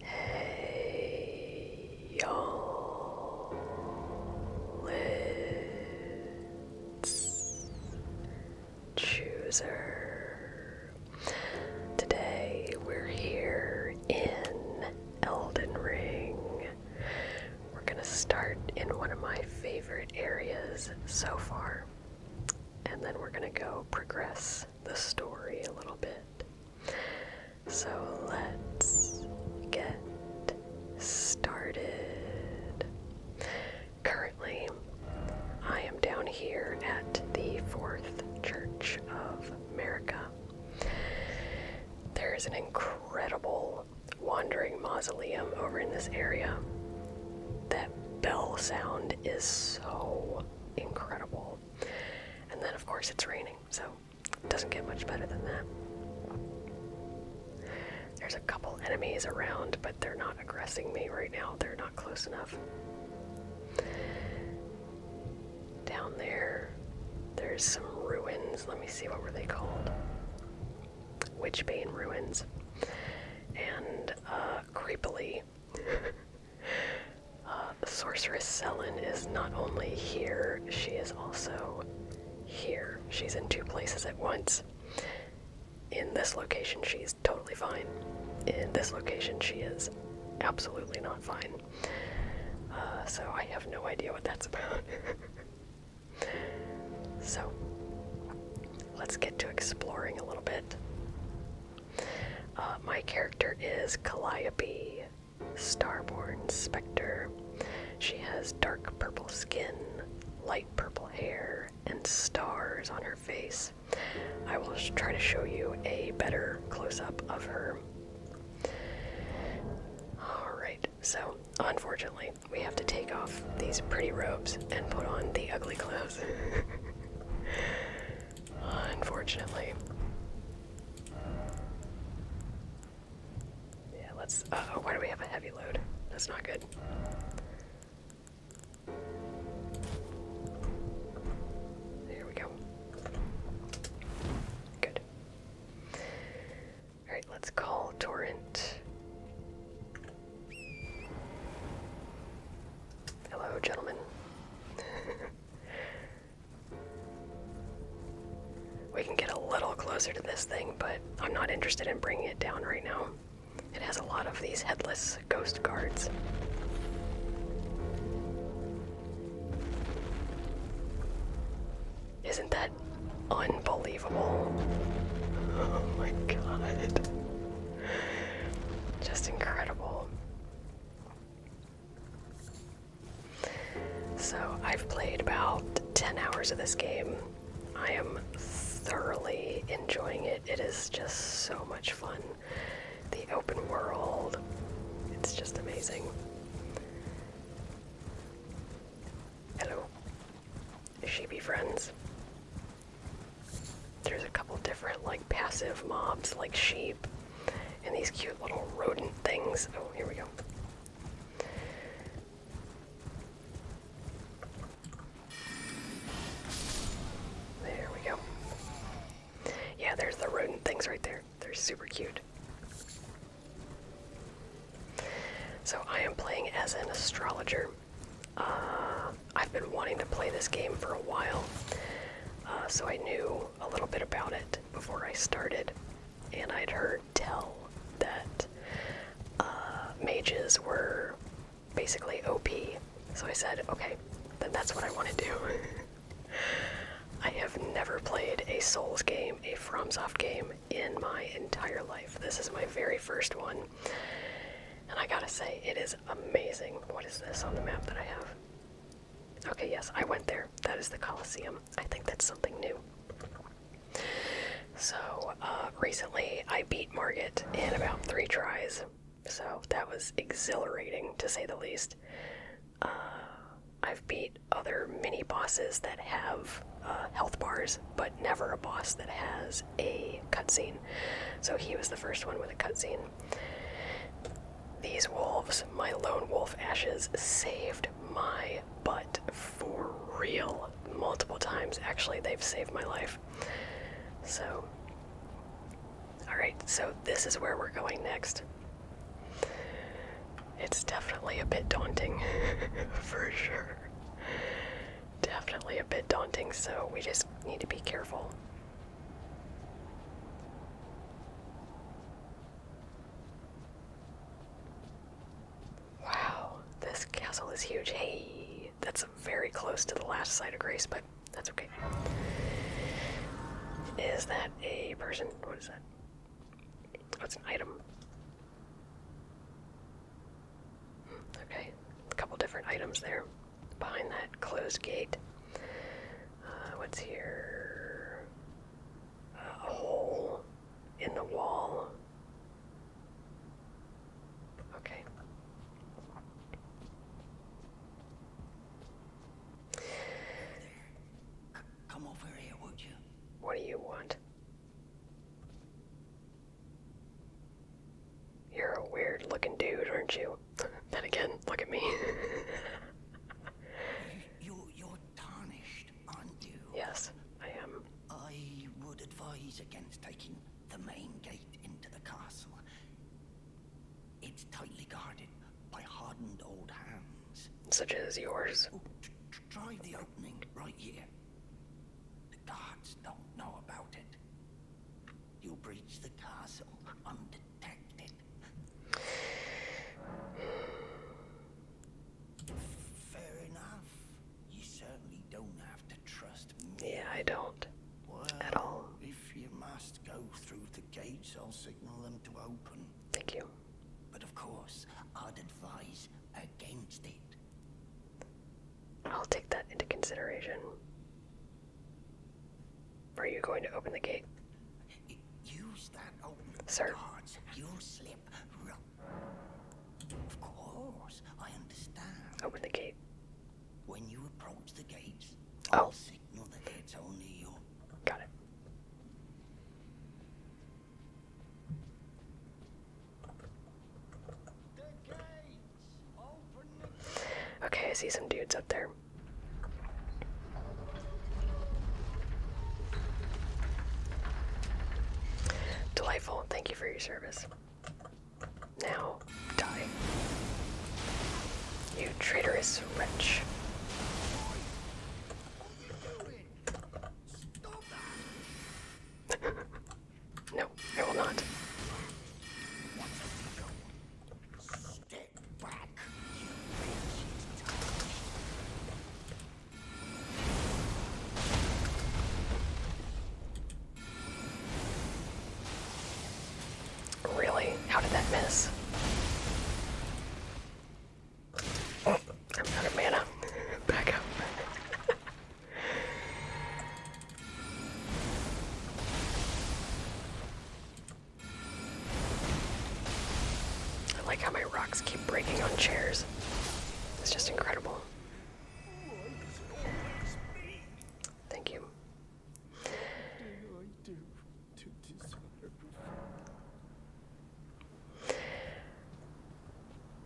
Hey y'all, it's Chooser. Today we're here in Elden Ring. We're gonna start in one of my favorite areas so far, and then we're gonna go progress the story a little bit. So let's get started. Currently, I am down here at the Fourth Church of America. There is an incredible wandering mausoleum over in this area. That bell sound is so incredible. And then, of course, it's raining, so it doesn't get much better than that. There's a couple enemies around, but they're not aggressing me right now. They're not close enough. Down there, there's some ruins. Let me see, what were they called? Witchbane ruins. And, uh, creepily, Uh, the sorceress Selin is not only here, she is also here. She's in two places at once. In this location, she's totally fine. In this location, she is absolutely not fine. Uh, so I have no idea what that's about. so let's get to exploring a little bit. Uh, my character is Calliope Starborn Spectre. She has dark purple skin, light purple hair, and stars on her face. I will try to show you a better close up of her. Alright, so unfortunately, we have to take off these pretty robes and put on the ugly clothes. unfortunately. Yeah, let's. oh, why do we have a heavy load? That's not good. There we go. Good. Alright, let's call Torrent. Hello, gentlemen. We can get a little closer to this thing, but I'm not interested in bringing it down right now. It has a lot of these headless ghost guards. Isn't that unbelievable? Oh my god. Just incredible. So I've played about 10 hours of this game. I am thoroughly enjoying it. It is just so much fun. The open world, it's just amazing. Hello, sheepy friends. There's a couple different, like, passive mobs, like sheep. And these cute little rodent things. Oh, here we go. There we go. Yeah, there's the rodent things right there. They're super cute. So I am playing as an astrologer. Uh, I've been wanting to play this game for a while, uh, so I knew a little bit about it before I started, and I'd heard tell that uh, mages were basically OP. So I said, okay, then that's what I want to do. I have never played a Souls game, a FromSoft game, in my entire life. This is my very first one. And I gotta say, it is amazing. What is this on the map that I have? Okay, yes, I went there. That is the Colosseum. I think that's something new. So, uh, recently I beat Margit in about three tries. So, that was exhilarating to say the least. Uh, I've beat other mini bosses that have uh, health bars, but never a boss that has a cutscene. So, he was the first one with a cutscene. These wolves, my lone wolf ashes, saved my butt for real multiple times. Actually, they've saved my life. So, alright, so this is where we're going next. It's definitely a bit daunting, for sure. Definitely a bit daunting, so we just need to be careful. Wow, this castle is huge. Hey, that's very close to the last sight of grace, but that's okay. Is that a person? What is that? What's an item? Okay, a couple different items there behind that closed gate. Uh, what's here? a hole in the wall. Okay. Come over here, would you? What do you want? You're a weird looking dude, aren't you? then again, look at me. you, you're tarnished, are Yes, I am. I would advise against taking the main gate into the castle. It's tightly guarded by hardened old hands. Such as yours. Oh, try the opening right here. The guards don't know about it. You breach the castle undetected. Fair enough. You certainly don't have to trust me. Yeah, I don't. Well, at all. If you must go through the gates, I'll signal them to open. Thank you. But of course, I'd advise against it. I'll take that into consideration. Are you going to open the gate? Sir. Open the gate. When you approach the gates, oh. I'll signal that it's only you. Got it. Okay, I see some dudes up there. Delightful. Thank you for your service. Now, die. You traitorous wretch. no, I will not. Take back, you wretched target. Really? How did that miss? Oh, I'm out of mana. Back up. I like how my rocks keep breaking on chairs. It's just incredible. Thank you.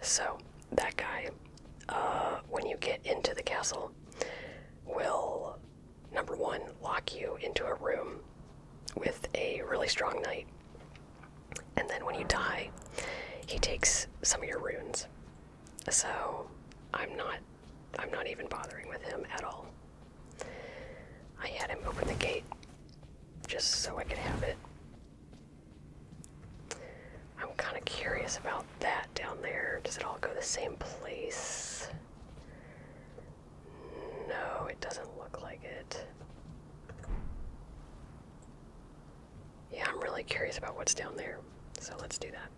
So, that guy, uh, when you get into the castle, will number one, lock you into a room with a really strong knight. And then when you die, he takes some of your runes. So I'm not I'm not even bothering with him at all. I had him open the gate just so I could have it. I'm kind of curious about that down there. Does it all go the same place? No, it doesn't look like it. Yeah, I'm really curious about what's down there, so let's do that.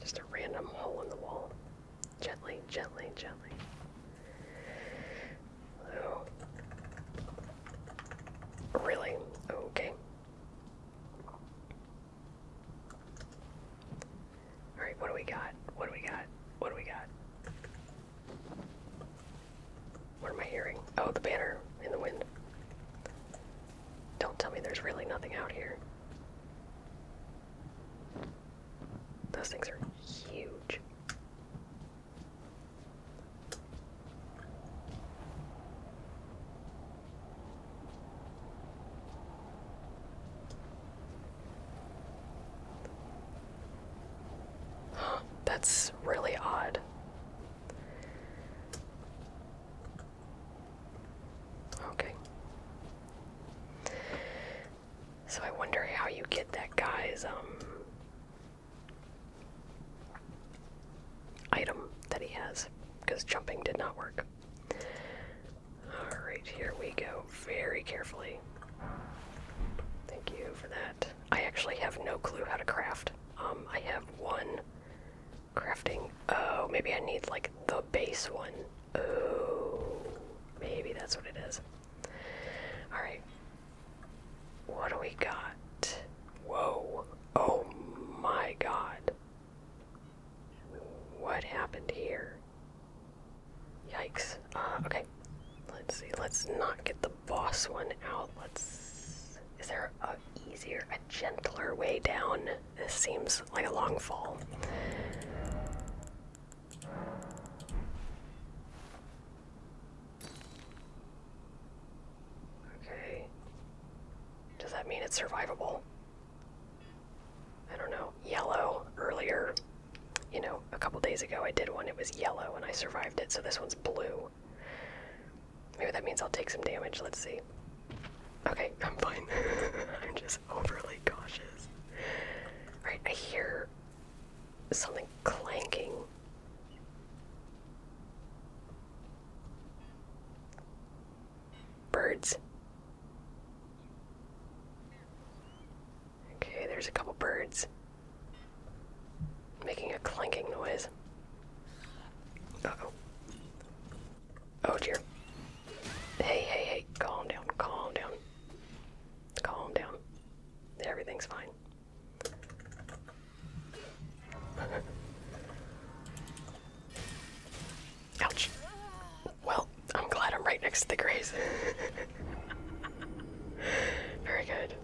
Just a random hole in the wall. Gently, gently, gently. Hello. Oh. Really? Okay. All right, what do we got? What do we got? What do we got? What am I hearing? Oh, the banner in the wind. Don't tell me there's really nothing out here. Those things are huge. That's really odd. Okay. So I wonder how you get that guy's um item that he has because jumping did not work. Alright, here we go. Very carefully. Thank you for that. I actually have no clue how to craft. Um, I have one crafting. Oh, maybe I need like the base one. Oh, maybe that's what it is. Alright. What do we got? Whoa. Oh my god. What happened here? Yikes. Uh, okay. Let's see. Let's not get the boss one out. Let's. Is there a easier, a gentler way down? This seems like a long fall. Okay. Does that mean it's survivable? I don't know. Yellow earlier. You know, a couple days ago I did one, it was yellow and I survived it, so this one's blue. Maybe that means I'll take some damage. Let's see. Okay, I'm fine. I'm just overly cautious. Alright, I hear something clanking. Birds. Okay, there's a couple birds making a clanking noise. oh. Oh dear. Hey, hey, hey, calm down, calm down. Calm down. Everything's fine. Ouch. Well, I'm glad I'm right next to the grays. Very good.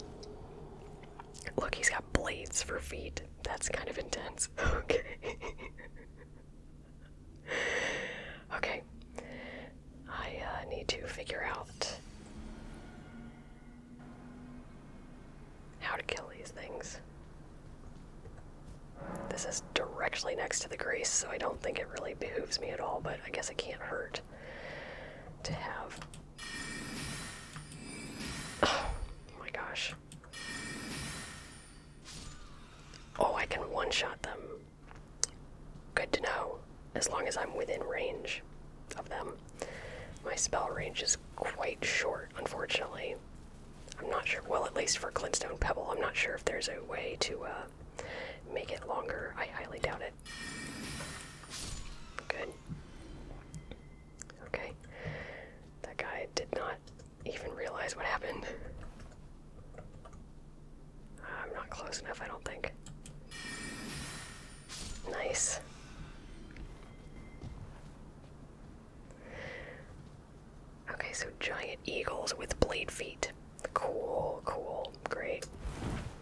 Look, he's got blades for feet. That's kind of intense. Okay. okay. I uh, need to figure out how to kill these things. This is directly next to the grease, so I don't think it really behooves me at all, but I guess it can't hurt to have. Oh my gosh. Oh, I can one shot them. Good to know, as long as I'm within range of them. My spell range is quite short, unfortunately. I'm not sure, well, at least for Glintstone Pebble, I'm not sure if there's a way to uh, make it longer. I highly doubt it. Good. Okay. That guy did not even realize what happened. Uh, I'm not close enough, I don't think. Nice. Okay, so giant eagles with blade feet. Cool, cool, great.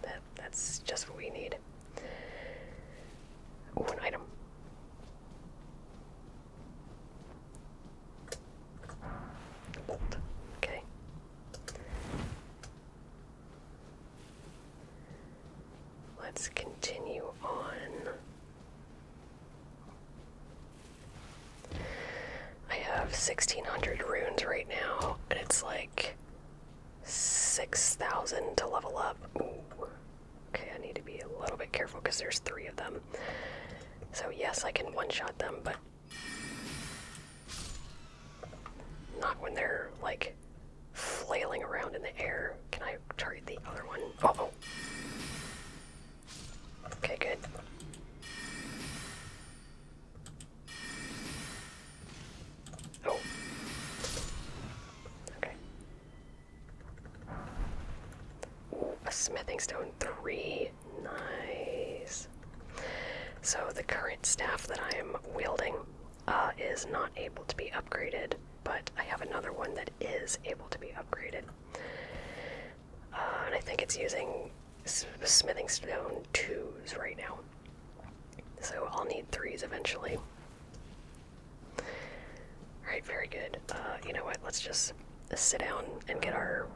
That that's just what we need. Ooh, item. Okay. Let's continue on. I have 1600 runes right now, and it's like 6,000 to level up. Okay, I need to be a little bit careful because there's three of them. So, yes, I can one shot them, but not when they're like flailing around in the air. Can I target the other one? oh, oh Okay, good. Oh. Okay. a smithing stone three. Nice. So the current staff that I am wielding uh, is not able to be upgraded but I have another one that is able to be upgraded. Uh, and I think it's using smithing stone twos right now. So I'll need threes eventually. Alright, very good. Uh, you know what? Let's just sit down and get our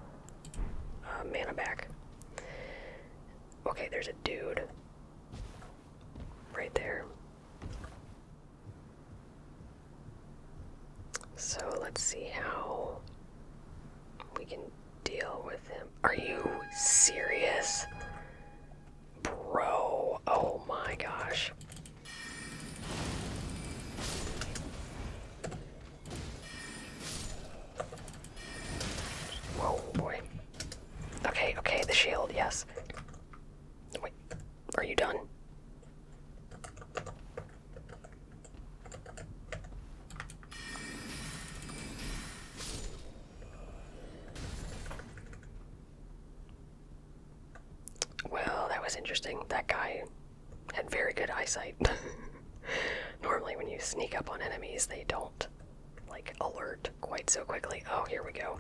uh, mana back. Okay, there's a dude right there. So let's see how we can deal with him. Are you serious? Bro, oh my gosh. Whoa, boy. Okay, okay, the shield, yes. Wait, are you done? Well, that was interesting. That guy had very good eyesight. Normally, when you sneak up on enemies, they don't like alert quite so quickly. Oh, here we go.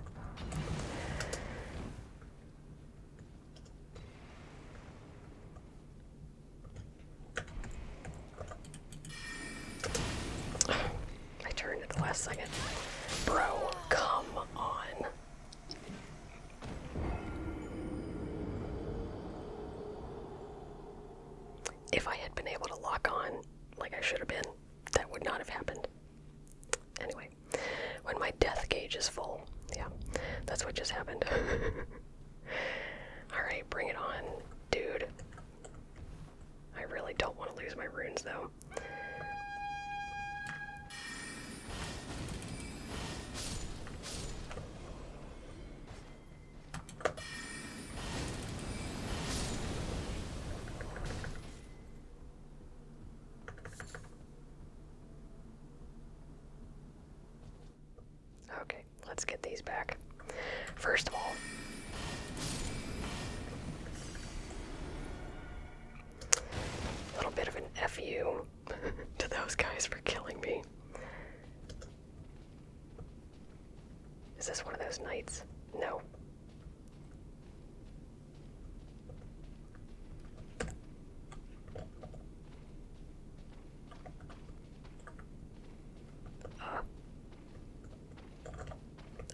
I turned at the last second. Bro, come on. If I had been able to lock on like I should have been, that would not have happened. Anyway, when my death gauge is full. Yeah, that's what just happened. Alright, bring it on, dude. I really don't want to lose my runes though. Okay, let's get these back. First of all, a little bit of an FU to those guys for killing me. Is this one of those knights? No.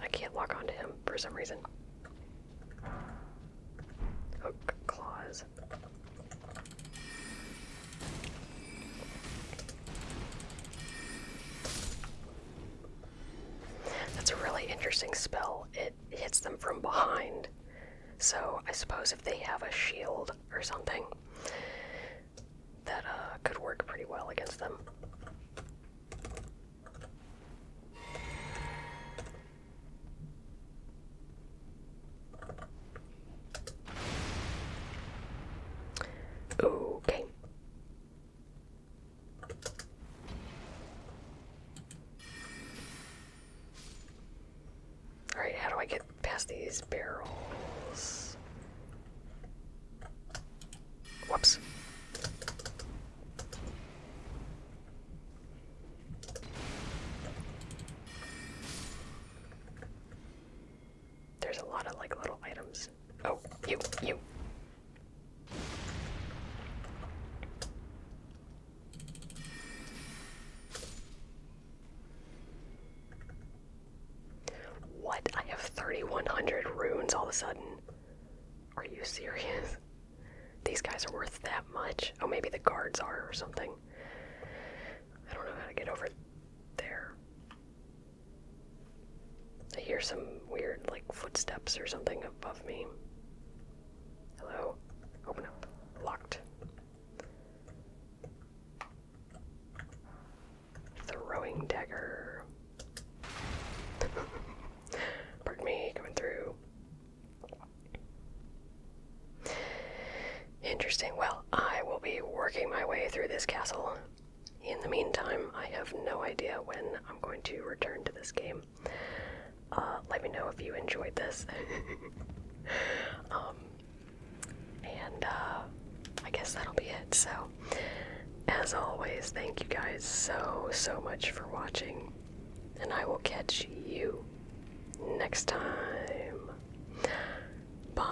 I can't lock onto him for some reason. Hook oh, claws. That's a really interesting spell. It hits them from behind. So I suppose if they have a shield or something, that uh, could work pretty well against them. Okay. Alright, how do I get past these barrels? Whoops. There's a lot of like little items. Oh, you, you. What? I have 3,100 runes all of a sudden. Are you serious? These guys are worth that much. Oh, maybe the guards are or something. I don't know how to get over there. I hear some weird, like, footsteps or something above me. Hello? Open up. Locked. Throwing dagger. Pardon me, coming through. Interesting. Well, I will be working my way through this castle. In the meantime, I have no idea when I'm going to return to this game. Uh, let me know if you enjoyed this. Um, and uh, I guess that'll be it. So, as always, thank you guys so, so much for watching. And I will catch you next time. Bye.